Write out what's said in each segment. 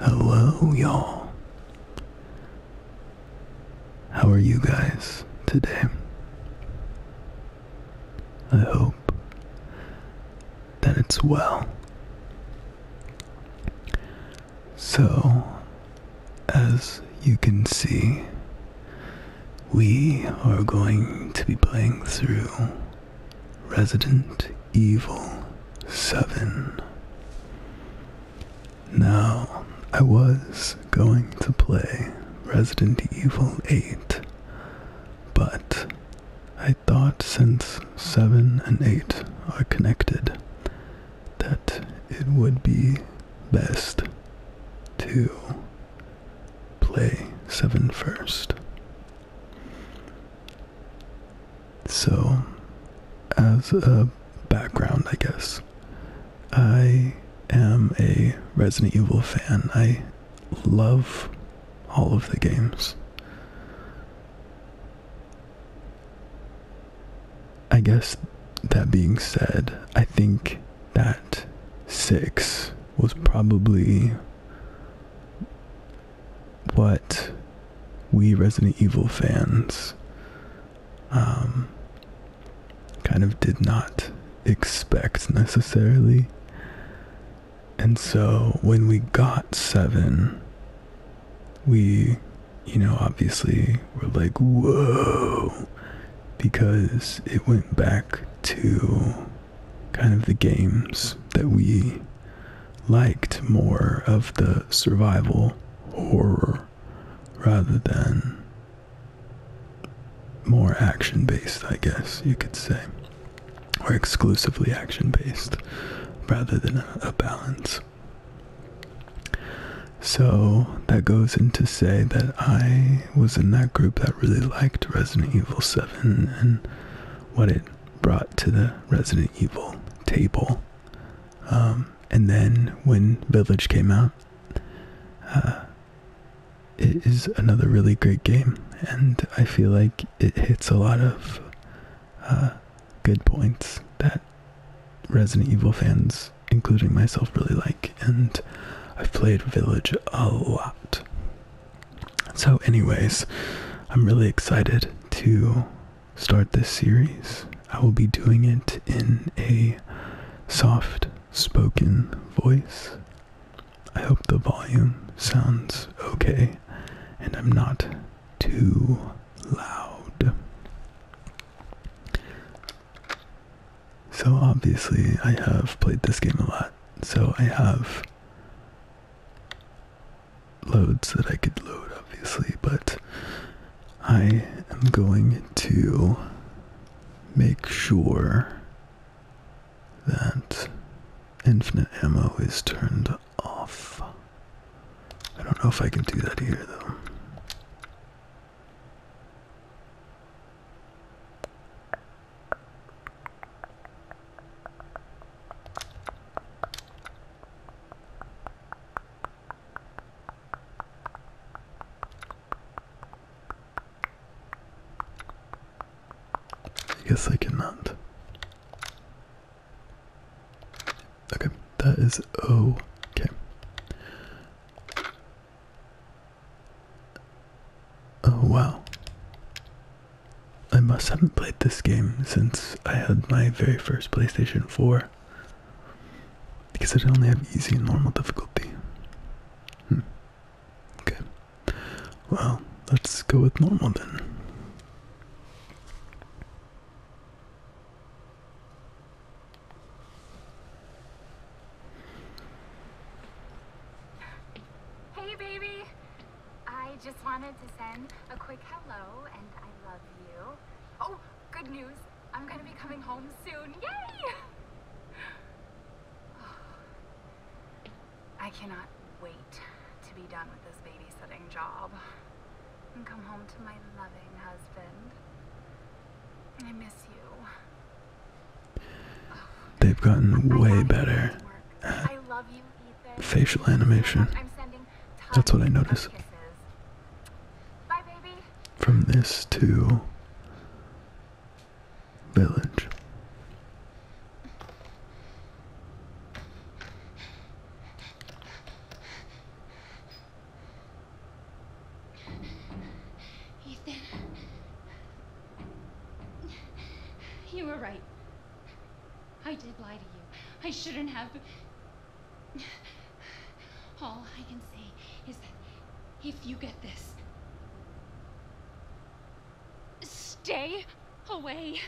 Hello, y'all. How are you guys today? I hope that it's well. So, as you can see, we are going to be playing through Resident Evil 7. Now, I was going to play Resident Evil 8, but I thought since 7 and 8 are connected, that it would be best to play 7 first. So, as a background, I guess, I am a Resident Evil fan. I love all of the games. I guess that being said, I think that 6 was probably what we Resident Evil fans um, kind of did not expect necessarily. And so when we got seven, we, you know, obviously were like, whoa, because it went back to kind of the games that we liked more of the survival horror rather than more action based, I guess you could say, or exclusively action based rather than a, balance. So that goes into say that I was in that group that really liked Resident Evil 7 and what it brought to the Resident Evil table. Um, and then when Village came out, uh, it is another really great game, and I feel like it hits a lot of uh, good points that Resident Evil fans, including myself, really like. And I've played Village a lot. So, anyways, I'm really excited to start this series. I will be doing it in a soft spoken voice. I hope the volume sounds okay and I'm not too loud. So, obviously, I have played this game a lot, so I have loads that I could load, obviously, but I am going to make sure that infinite ammo is turned off. I don't know if I can do that here, though. I guess I cannot. Okay, that is okay. Oh, wow. I must haven't played this game since I had my very first PlayStation 4 because I only have easy and normal difficulty. Hmm. Okay. Well, let's go with normal then. Hey, baby. I just wanted to send a quick hello and I love you. Oh, good news. I'm going to be coming home soon. Yay! I cannot wait to be done with this babysitting job and come home to my loving husband. I miss you. They've gotten way better. I love you facial animation. That's what I noticed. From this to village. Ethan, you were right. I did lie to you. I shouldn't have. All I can say is that if you get this, stay away.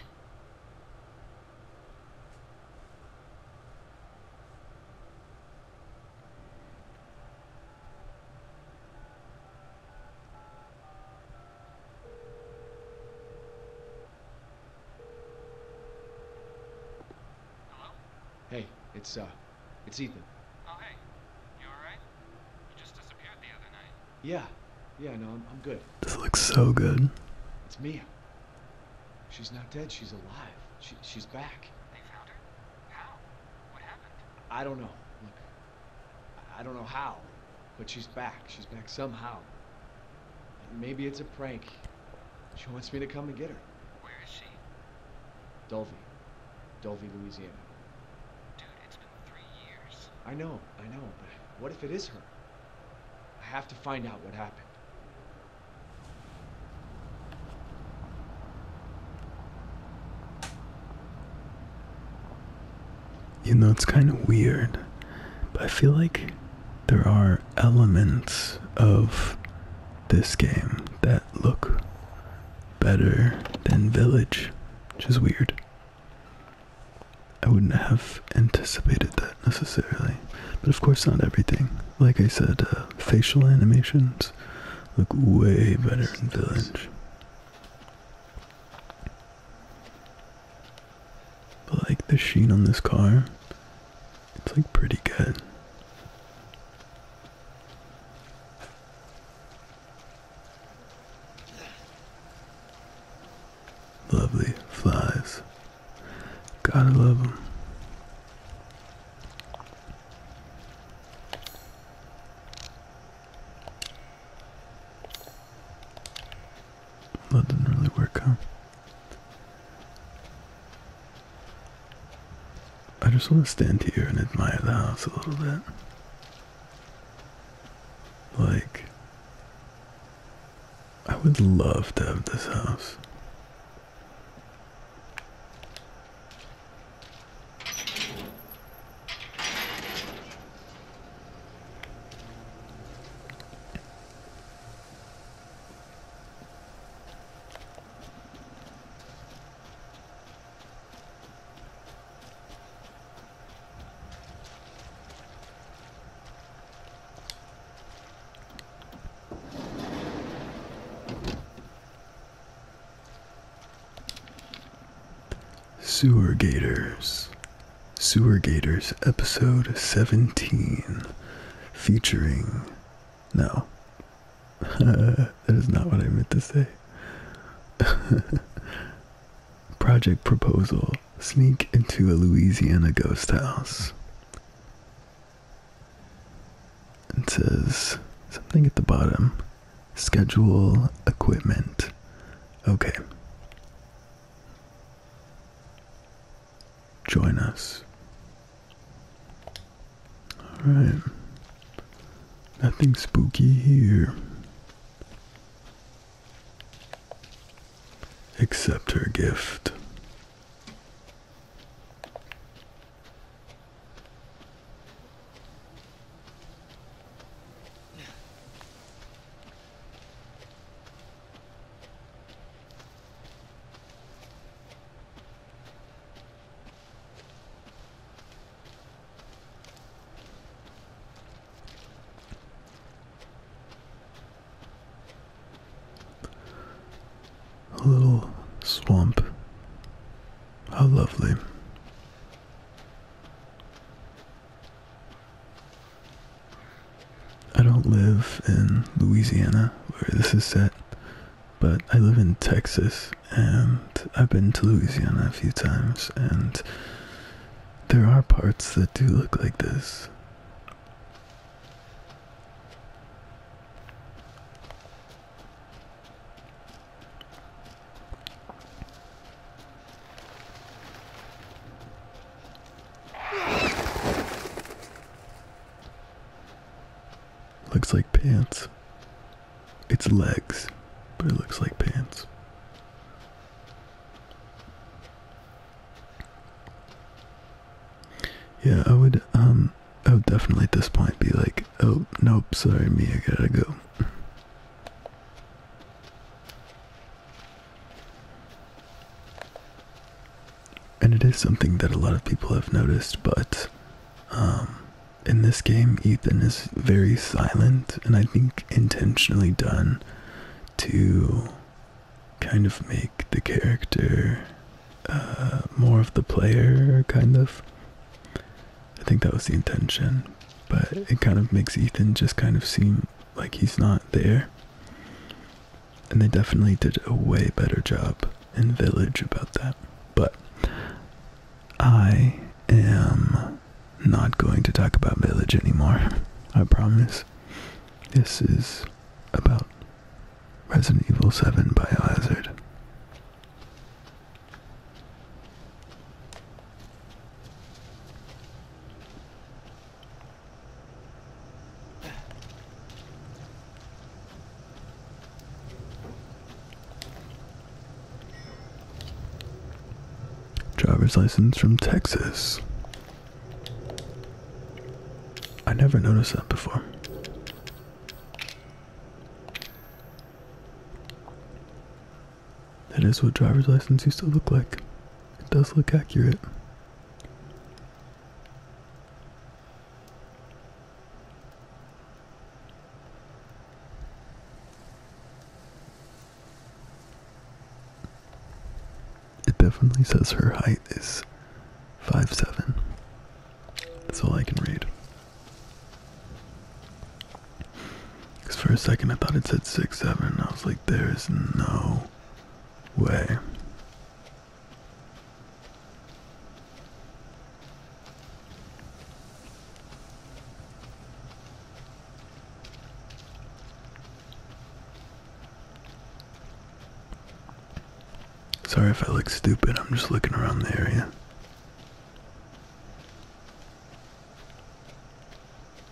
Hello? Hey, it's, uh, it's Ethan. Oh, hey. You alright? You just disappeared the other night. Yeah. Yeah, no, I'm, I'm good. This looks so good. It's Mia. She's not dead. She's alive. She, she's back. They found her? How? What happened? I don't know. Look, I don't know how but she's back. She's back somehow. And maybe it's a prank. She wants me to come and get her. Where is she? Dolby. Dolby, Louisiana. Dude, it's been three years. I know, I know, but what if it is her? I have to find out what happened. You know, it's kind of weird, but I feel like there are elements of this game that look better than Village, which is weird. I wouldn't have anticipated that necessarily, but of course, not everything. Like I said, uh, facial animations look way better in Village. But like the sheen on this car, it's like pretty good. Lovely flies. Gotta love them. That didn't really work, huh? I just want to stand here and admire the house a little bit. Like, I would love to have this house. Sewer gators. Sewer Gators episode 17 featuring. No. that is not what I meant to say. Project Proposal Sneak into a Louisiana Ghost House. It says something at the bottom Schedule equipment. Okay join us. Alright. Nothing spooky here. except her gift. A little swamp. How lovely. I don't live in Louisiana where this is set, but I live in Texas and I've been to Louisiana a few times and there are parts that do look like this. Looks like pants. It's legs, but it looks like pants. Yeah, I would, um, I would definitely at this point be like, oh, nope, sorry, me, I gotta go. And it is something that a lot of people have noticed, but um, in this game, Ethan is very silent, and I think intentionally done to kind of make the character uh, more of the player, kind of. I think that was the intention, but it kind of makes Ethan just kind of seem like he's not there. And they definitely did a way better job in Village about that. But I am not going to talk about Village anymore. I promise. This is about Resident Evil 7 Biohazard. Driver's license from Texas. I never noticed that before. That is what driver's license used to look like. It does look accurate. It definitely says her height is five seven. That's all I can read. Because for a second I thought it said six seven, I was like, there is no way. Sorry if I look stupid, I'm just looking around the area.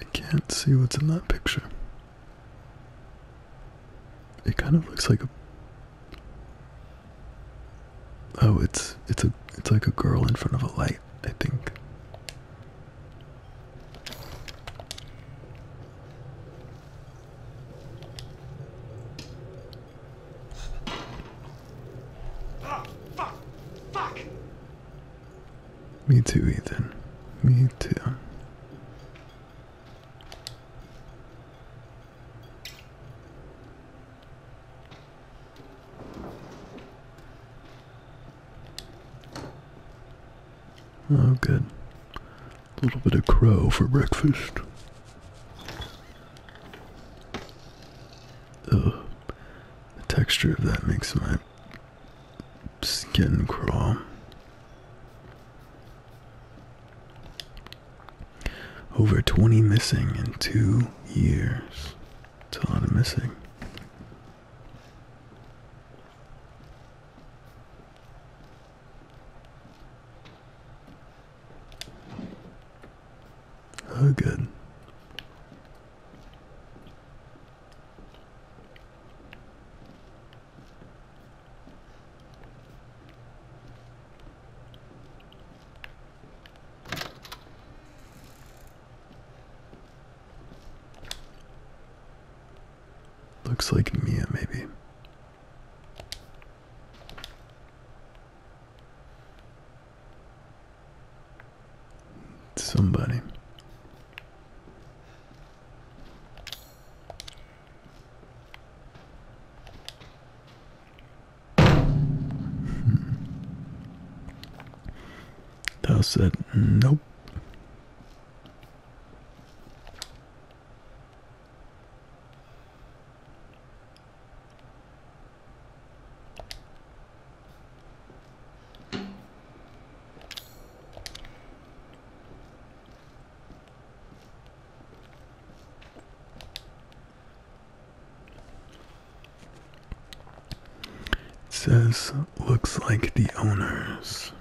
I can't see what's in that picture. It kind of looks like a Oh, it's it's a it's like a girl in front of a light, I think. Me too, Ethan. Me too. Oh, good. A little bit of crow for breakfast. Ugh. The texture of that makes my skin crawl. Over 20 missing in two years. It's a lot of missing. Oh, good. Looks like Mia, maybe. Somebody. Hmm. Thou said, mm, nope. It says, looks like the owners.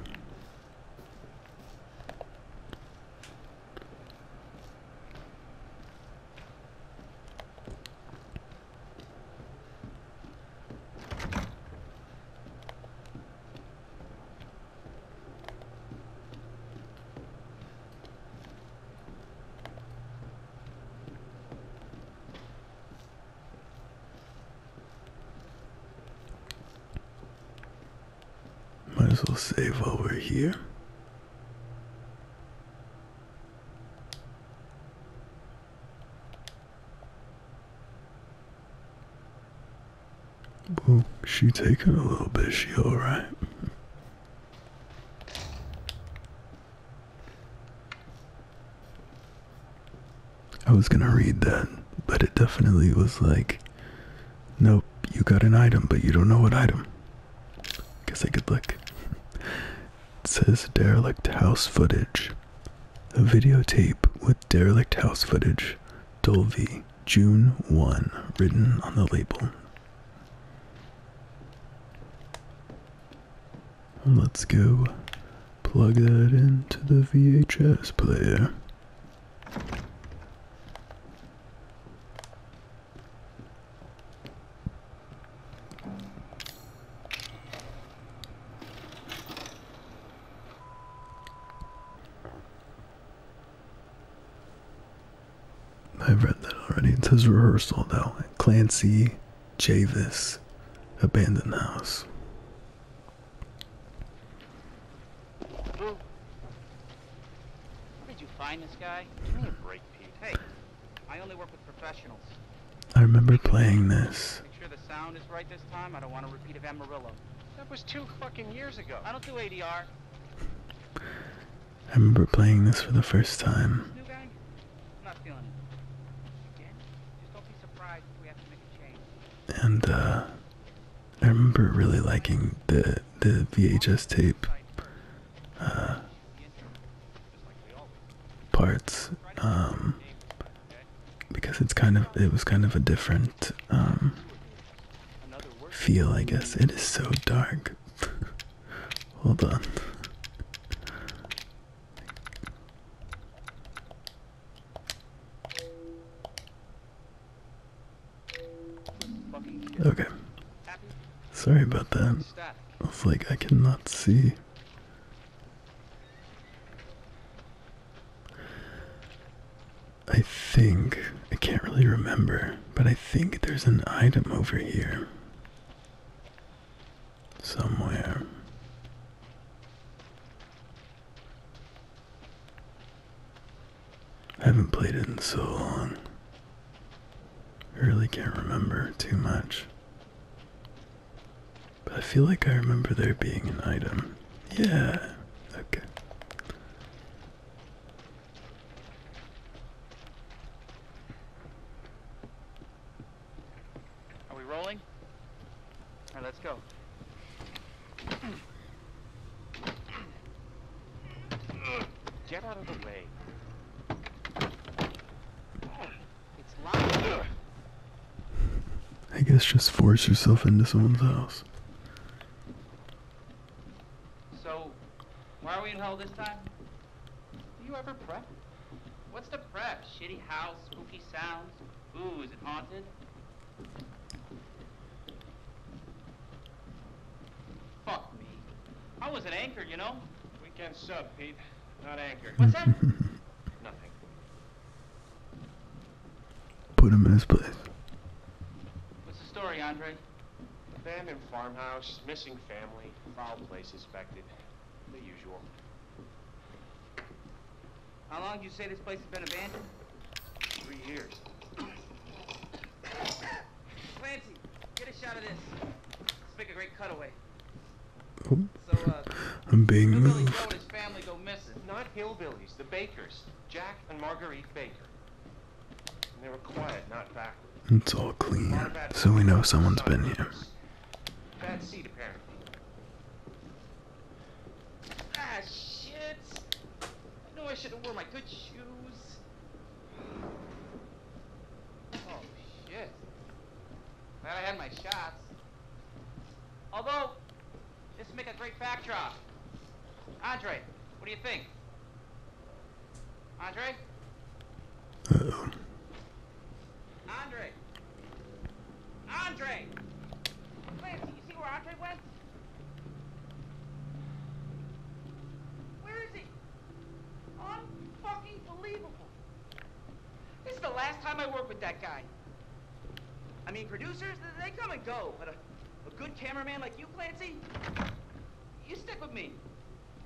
Might as well save while we're here. Well, she taking a little bit, she alright. I was gonna read that, but it definitely was like, nope, you got an item, but you don't know what item. Guess I could look. says derelict house footage. A videotape with derelict house footage, Dolby, June 1, written on the label. Let's go plug that into the VHS player. I've read that already. It says rehearsal now. Clancy Javis Abandoned House. Who? Where Did you find this guy? Give me a break, Pete. Hey, I only work with professionals. I remember playing this. Make sure the sound is right this time. I don't want to repeat of Amarillo. That was two fucking years ago. I don't do ADR. I remember playing this for the first time. And uh, I remember really liking the the VHS tape uh, parts um, because it's kind of it was kind of a different um, feel, I guess. It is so dark. Hold on. Okay. Sorry about that. It's like I cannot see. I think I can't really remember but I think there's an item over here. Somewhere. I haven't played it in so long. I really can't remember too much. But I feel like I remember there being an item. Yeah. Okay. Are we rolling? All right, let's go. Get out of the way. It's locked. I guess just force yourself into someone's house. So, why are we in hell this time? Do you ever prep? What's the prep? Shitty house, spooky sounds? Ooh, is it haunted? Fuck me. I was an anchor, you know? Weekend sub, Pete. Not anchor. What's that? Nothing. Put him in his place. What's the story, Andre? Abandoned farmhouse, missing family, foul play suspected. The usual. How long do you say this place has been abandoned? Three years. Clancy, get a shot of this. Let's make a great cutaway. Uh, I'm being moved. Not hillbillies, the Bakers. Jack and Marguerite Baker. And they were quiet, not backward. It's all clean, so we know someone's been here. Bad seat, apparently. Ah, shit! I know I should have worn my good shoes. Oh, shit. Glad I had my shots. Although, this would make a great backdrop. Andre, what do you think? Andre? Andre! Andre! Clancy, you see where Andre went? Where is he? Unfucking believable. This is the last time I work with that guy. I mean, producers, they come and go, but a good cameraman like you, Clancy, you stick with me.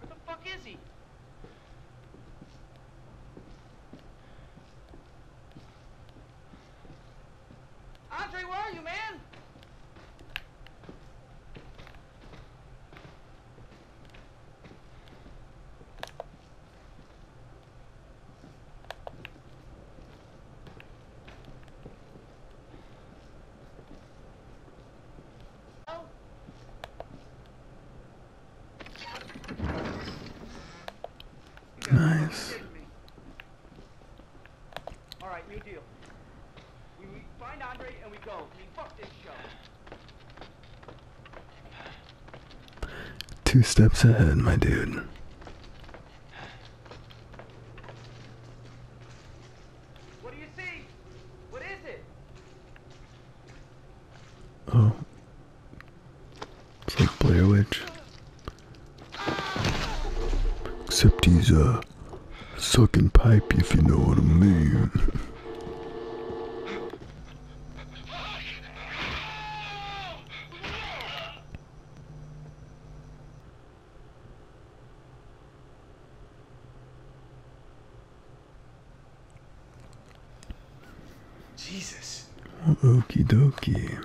Where the fuck is he? Andre, where are you, man? Nice. Alright, new deal. We, find Andre and we go. fuck this show. Two steps ahead, my dude. What do you see? What is it? Oh. It's like Blair Witch. Except he's a uh, sucking pipe if you know what I mean. Jesus. Well, okie dokie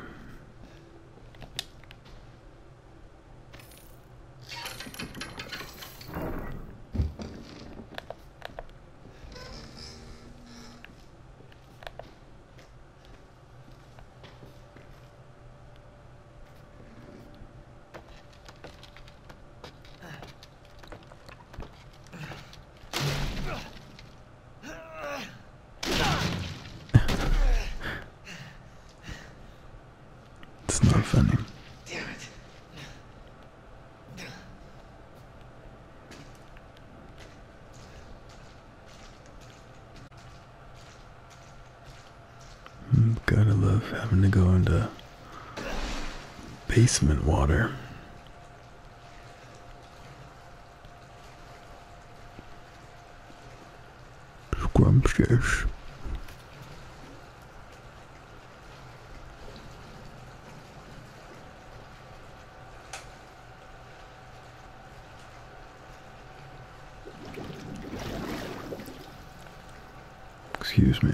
it's not funny. Damn it. Hmm, gotta love having to go into basement water. Scrumptious. Excuse me.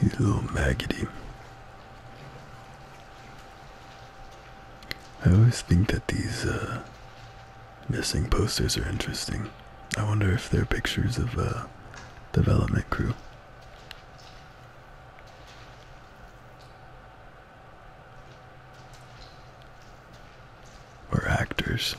He's a little maggoty. I always think that these uh, Missing posters are interesting. I wonder if they're pictures of a uh, development crew. Or actors.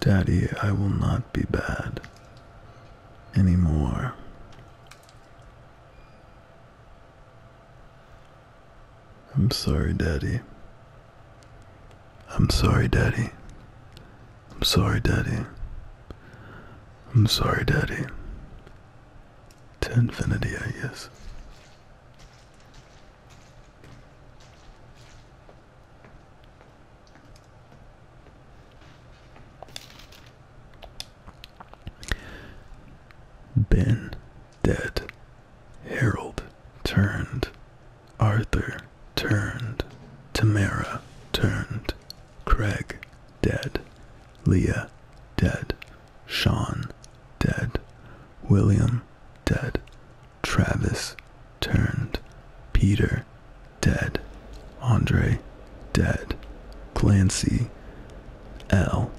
Daddy, I will not be bad anymore. I'm sorry, Daddy. I'm sorry, Daddy. I'm sorry, Daddy. I'm sorry, Daddy to infinity, I guess. Ben dead. Harold turned. Arthur turned. Tamara turned. Craig dead. Leah dead. Sean, dead. William, dead. Travis, turned. Peter, dead. Andre, dead. Clancy, L.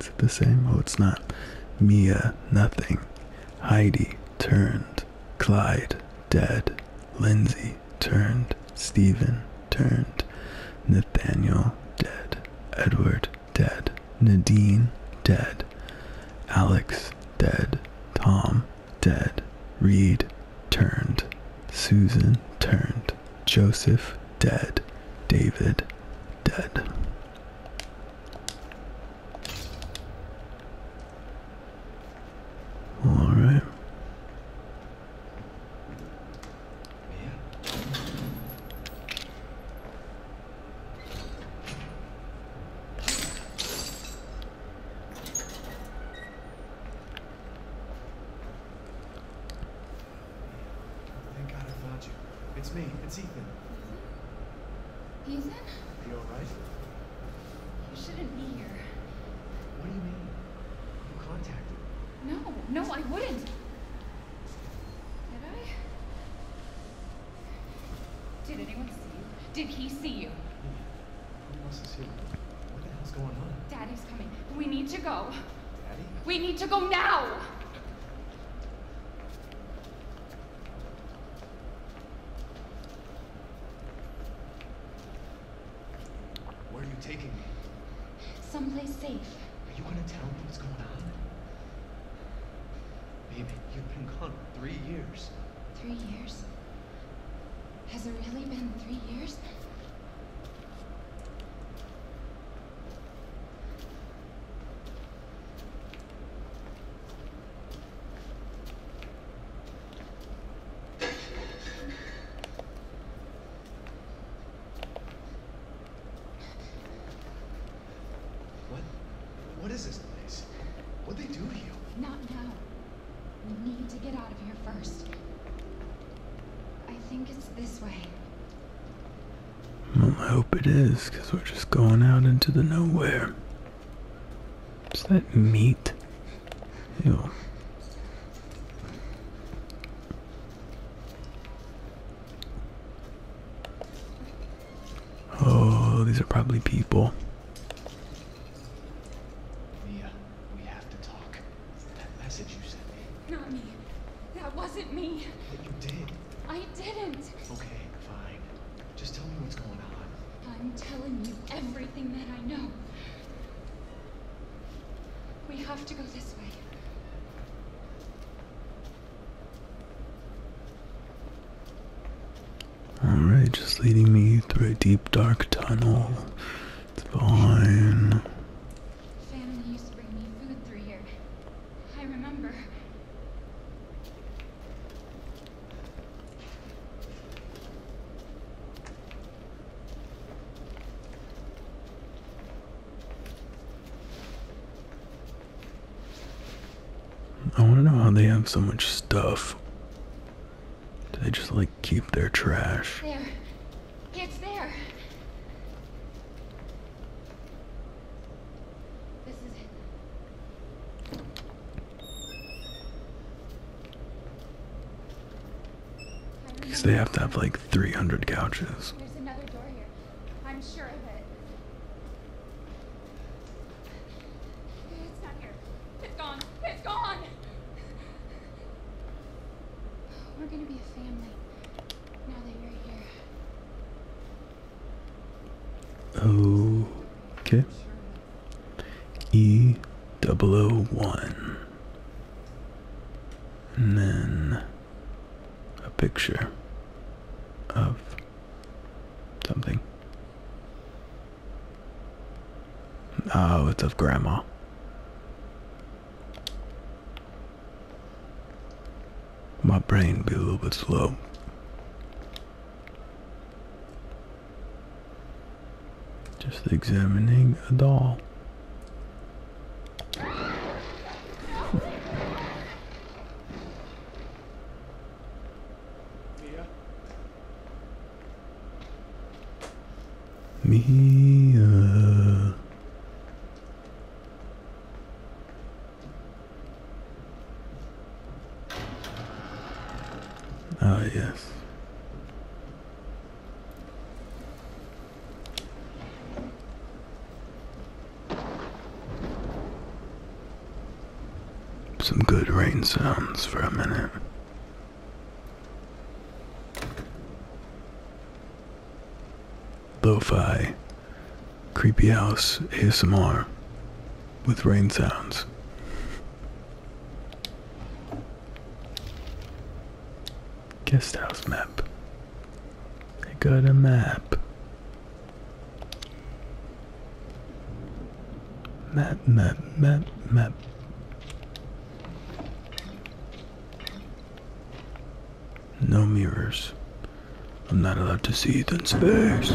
Is it the same? Oh, it's not. Mia, nothing. Heidi, turned. Clyde, dead. Lindsay turned. Stephen turned. Nathaniel dead. Edward dead. Nadine dead. Alex dead. Tom dead. Reed turned. Susan turned. Joseph dead. David dead. All right. Thank God I found you. It's me. It's Ethan. Ethan? Are you alright? You shouldn't be here. What do you mean? You contacted me. No, no, I wouldn't. Did I? Did anyone see you? Did he see you? Yeah. Who else is here? What the hell's going on? Daddy's coming. We need to go. Daddy? We need to go now! Where are you taking me? Someplace safe. Are you gonna tell me what's going on? Baby, you've been gone three years. Three years? Has it really been three years? What? What is this place? what do they do here? Not now. We need to get out of here first. I think it's this way. Hmm, I hope it is, because we're just going out into the nowhere. Is that meat? Oh, these are probably people. Not me. That wasn't me. But you did. I didn't. Okay, fine. Just tell me what's going on. I'm telling you everything that I know. We have to go this way. Alright, just leading me through a deep dark tunnel. It's fine. Family used to bring me food through here. I remember. I want to know how they have so much stuff. Do they just like keep their trash? Because they have to have like 300 couches. There's another door here. I'm sure of it. It's not here. It's gone. It's gone. We're gonna be a family now that you're here. Oh. Okay. E double O one. And then a picture of something. Oh, it's of Grandma. My brain be a little bit slow. Just examining a doll. Mia. Uh, ah, yes. Some good rain sounds for a minute. Lo-fi, creepy house ASMR with rain sounds. Guest house map. I got a map. Map, map, map, map. No mirrors. I'm not allowed to see it in space.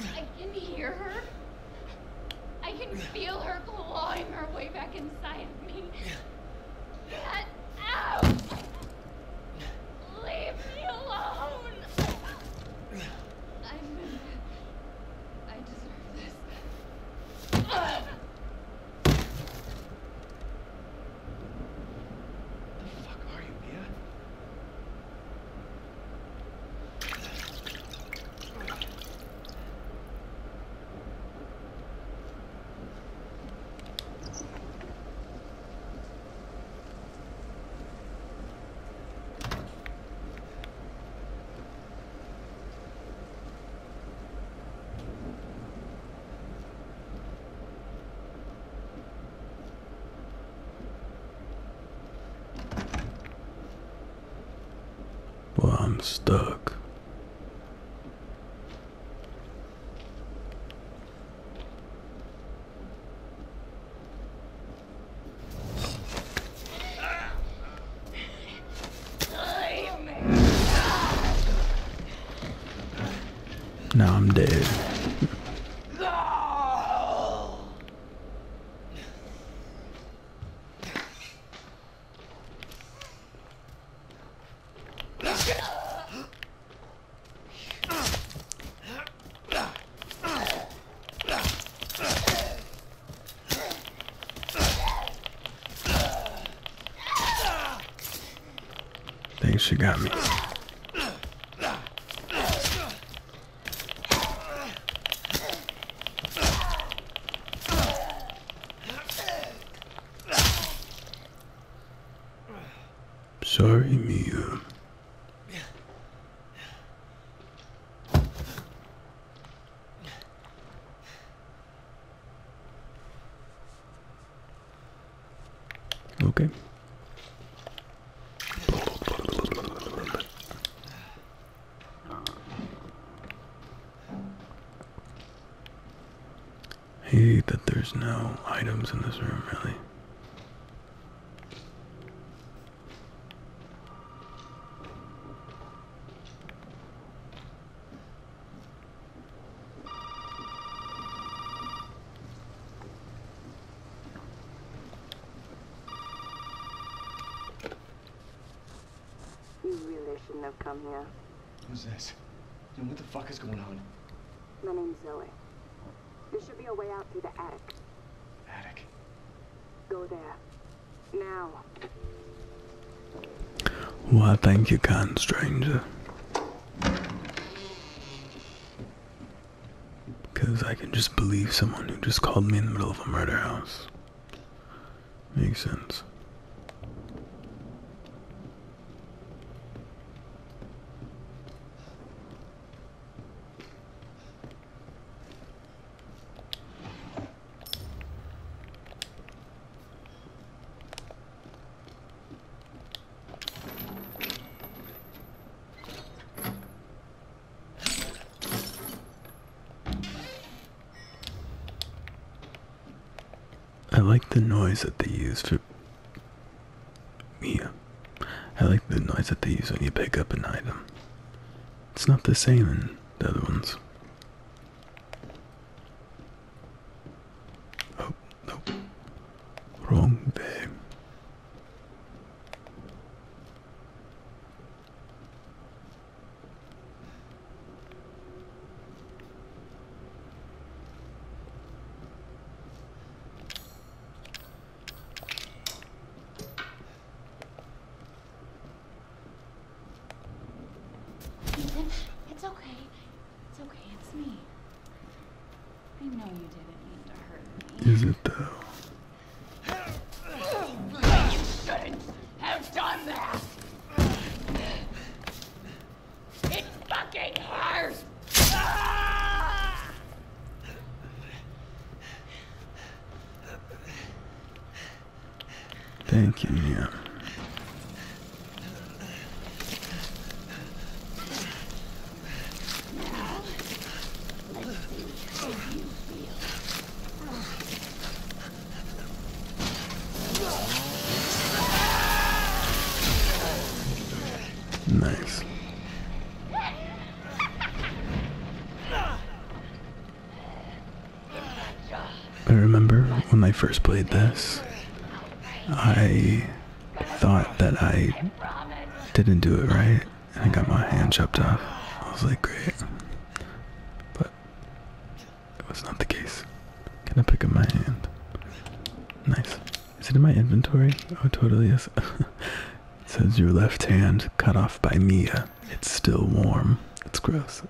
I can hear her. I can feel her clawing her way back inside of me. Get out! Leave me alone! I'm... I deserve this. The fuck are you, Mia? Well, I'm stuck. Now I'm dead. Think she got me. Sorry, Mia. Okay. hate that there's no items in this room, really. You really shouldn't have come here. Who's this? And what the fuck is going on? My name's Zoe. There should be a way out through the attic. Attic? Go there. Now. Well, thank you kind stranger. Because I can just believe someone who just called me in the middle of a murder house. Makes sense. I like the noise that they use for yeah. I like the noise that they use when you pick up an item. It's not the same in the other ones. Oh, Nope. Wrong way. it's okay. It's okay, it's me. I know you didn't mean to hurt me. Is it though? You shouldn't have done that. It fucking hurts. Thank you, Mia. Nice. I remember when I first played this, I thought that I didn't do it right. and I got my hand chopped off. I was like, great. But that was not the case. Can I pick up my hand? Nice. Is it in my inventory? Oh, totally Yes. says your left hand cut off by Mia. It's still warm. It's gross.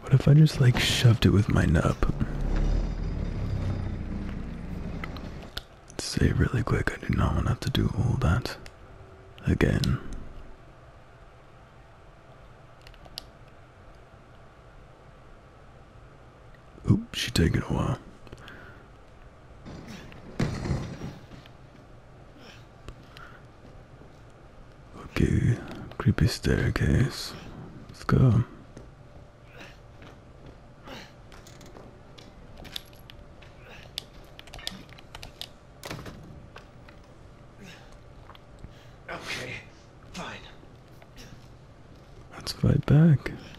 What if I just like shoved it with my nub? Let's save really quick. I do not want to have to do all that again. Oop, she taking a while. Okay, creepy staircase. Let's go. Okay, fine. Let's fight back.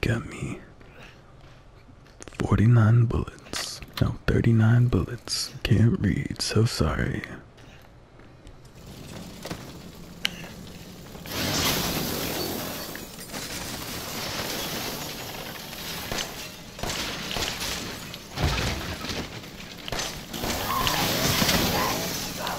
Got me 49 bullets. No, 39 bullets. Can't read, so sorry.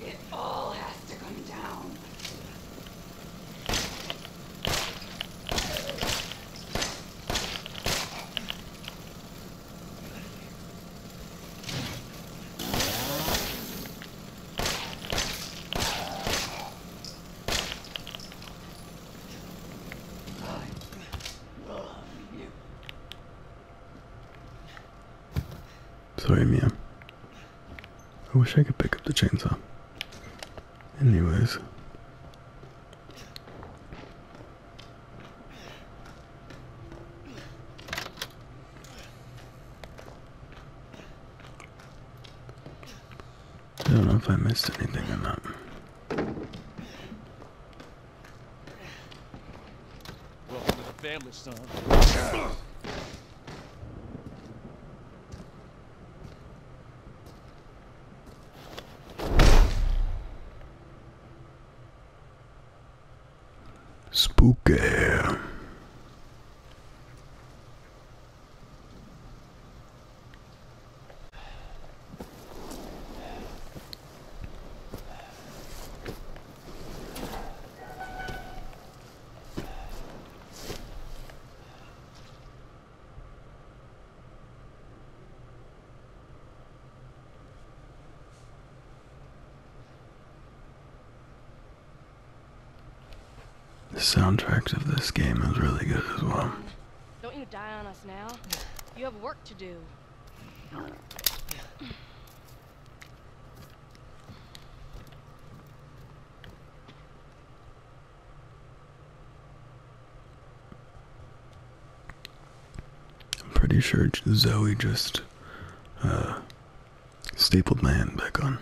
It all has to come down. I love you. Sorry, Mia. I wish I could pick up the chainsaw. Anyways. I don't know if I missed anything or not. Welcome to the family, son. Spooker. The soundtracks of this game is really good as well. Don't you die on us now. You have work to do. I'm pretty sure Zoe just uh, stapled my hand back on.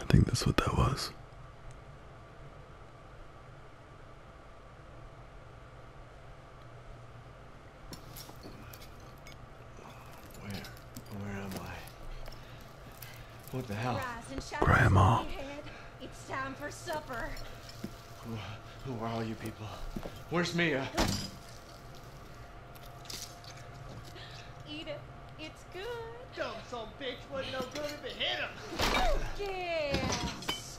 I think that's what that was. Where? Where am I? What the hell? Grandma. It's time for supper. Who, who are all you people? Where's Mia? Eat It's good. Dumb son bitch wasn't no good if it hit him. Yes.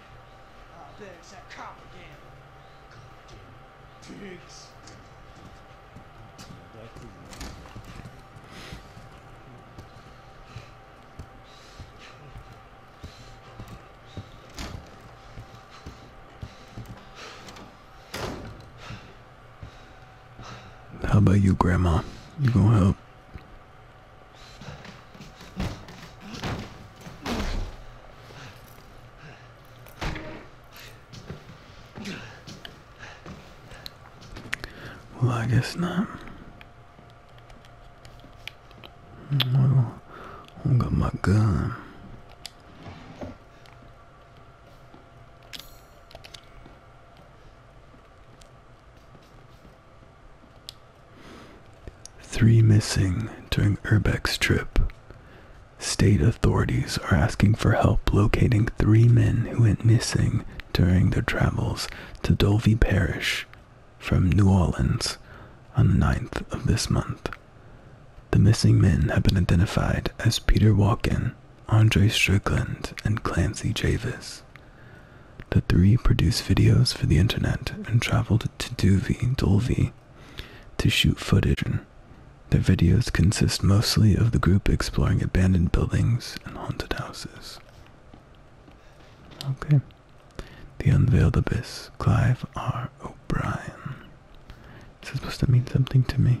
Oh, there's that cop again. Goddamn pigs. How about you, Grandma? You gonna help? Well, I guess not. Well, I got my gun. Three missing during Urbeck's trip. State authorities are asking for help locating three men who went missing during their travels to Dolby Parish from New Orleans on the 9th of this month. The missing men have been identified as Peter Walken, Andre Strickland, and Clancy Javis. The three produce videos for the internet and traveled to Duvi, Dolvi, to shoot footage. Their videos consist mostly of the group exploring abandoned buildings and haunted houses. Okay. The Unveiled Abyss, Clive R. O'Brien. Is supposed to mean something to me?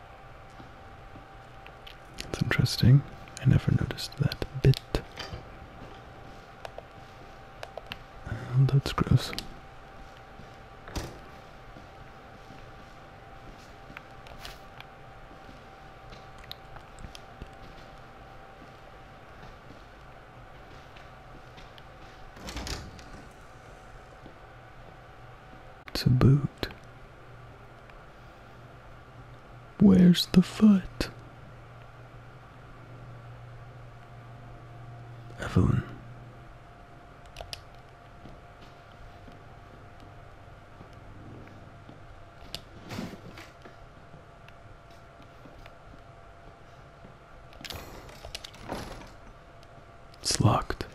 That's interesting. I never noticed that bit. that's gross. To boot. Where's the foot? Avon. It's locked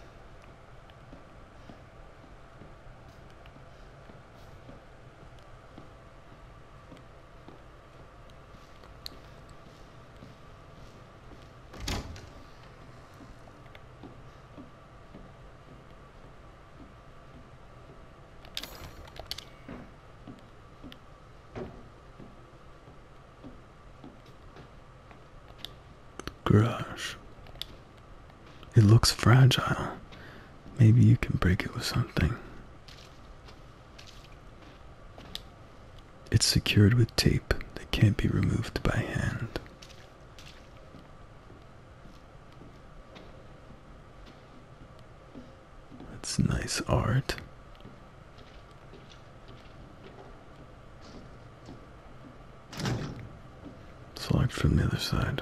garage it looks fragile. Maybe you can break it with something. It's secured with tape that can't be removed by hand. That's nice art. Select from the other side.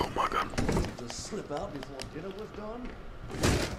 Oh my god. Did slip out before dinner was done?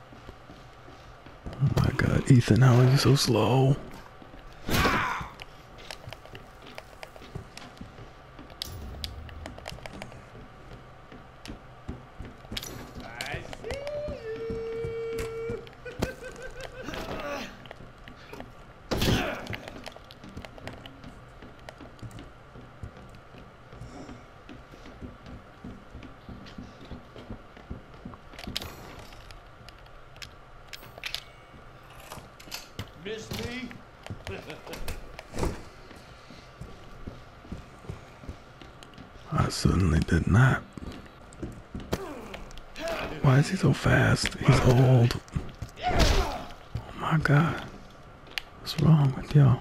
Oh my god, Ethan, how are you so slow? Missed me? I certainly did not. Why is he so fast? He's old. Oh my god. What's wrong with y'all?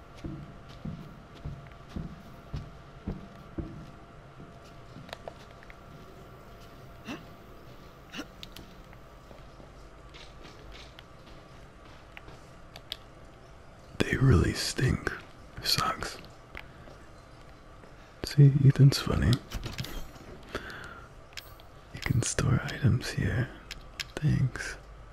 They really stink, socks. See, Ethan's funny. You can store items here. Thanks.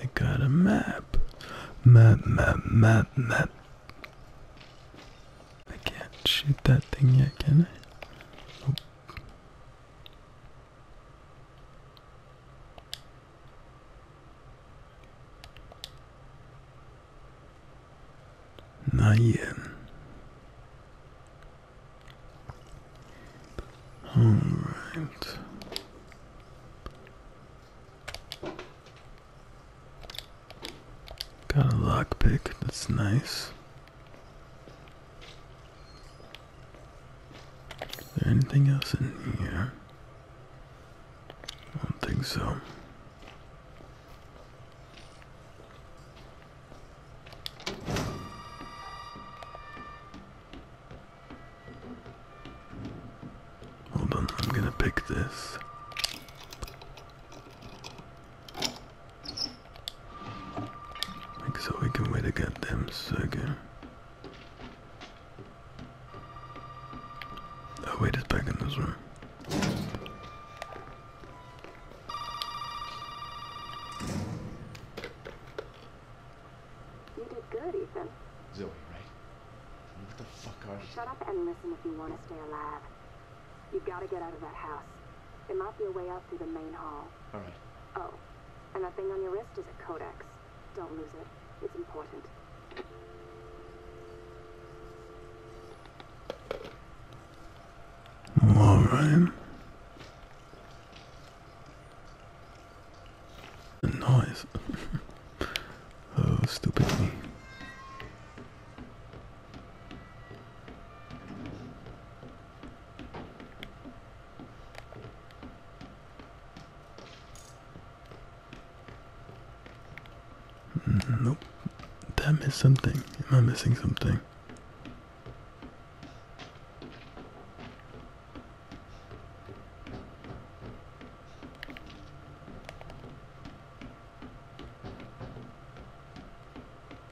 I got a map. Map, map, map, map. I can't shoot that thing yet, can I? Oh. Not yet. All right. Got a lockpick, that's nice. Is there anything else in here? I don't think so. Hold on, I'm gonna pick this. so we can wait a goddamn second. Oh wait, it's back in this room. You did good, Ethan. Zoe, right? What the fuck are... you? Shut up and listen if you want to stay alive. You gotta get out of that house. There might be a way out through the main hall. Alright. Oh, and that thing on your wrist is a codex. Don't lose it. It's important. All right. Noise. oh, stupid me. Mm, nope. That missed something. Am I missing something?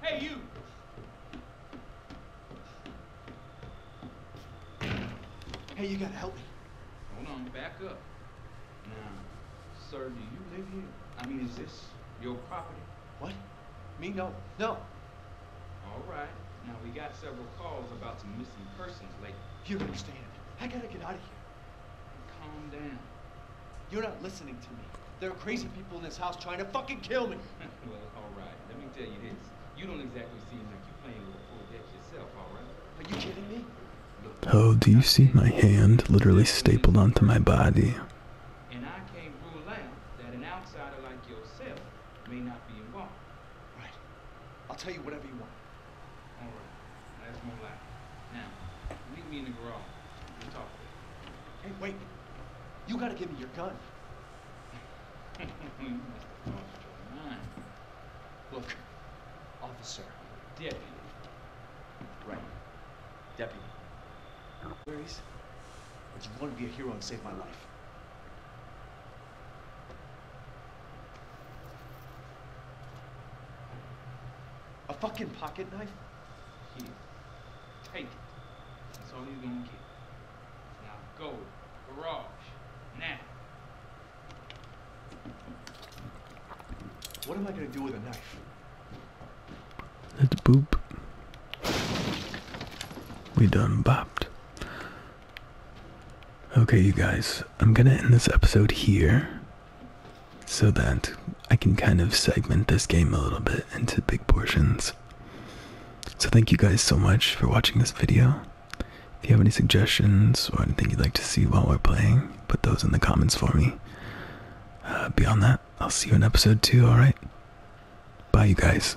Hey, you! Hey, you gotta help me. Hold on, back up. Now, sir, do you live here? I mean, is this your property? What? Me? No. No. All right. Now, we got several calls about some missing persons lately. You understand. I gotta get out of here. Calm down. You're not listening to me. There are crazy people in this house trying to fucking kill me. well, all right. Let me tell you this. You don't exactly seem like you're playing with a full deck yourself, all right? Are you kidding me? Look, oh, do you see my hand literally stapled onto my body? And I can't rule out that an outsider like yourself may not be involved. Right. I'll tell you whatever you want. All right. That's more like. Now, meet me in the garage. We'll talk later. Hey, wait. You gotta give me your gun. you must have lost your mind. Look, officer, deputy. Right. Deputy. Where is? But you want to be a hero and save my life. A fucking pocket knife? Here. Take it. That's all you're gonna get. Now go. Garage. Now. What am I gonna do with a knife? Let's boop. We done bopped. Okay, you guys, I'm gonna end this episode here so that I can kind of segment this game a little bit into big portions. So, thank you guys so much for watching this video. If you have any suggestions or anything you'd like to see while we're playing, put those in the comments for me. Uh, beyond that, I'll see you in episode 2, alright? Bye, you guys.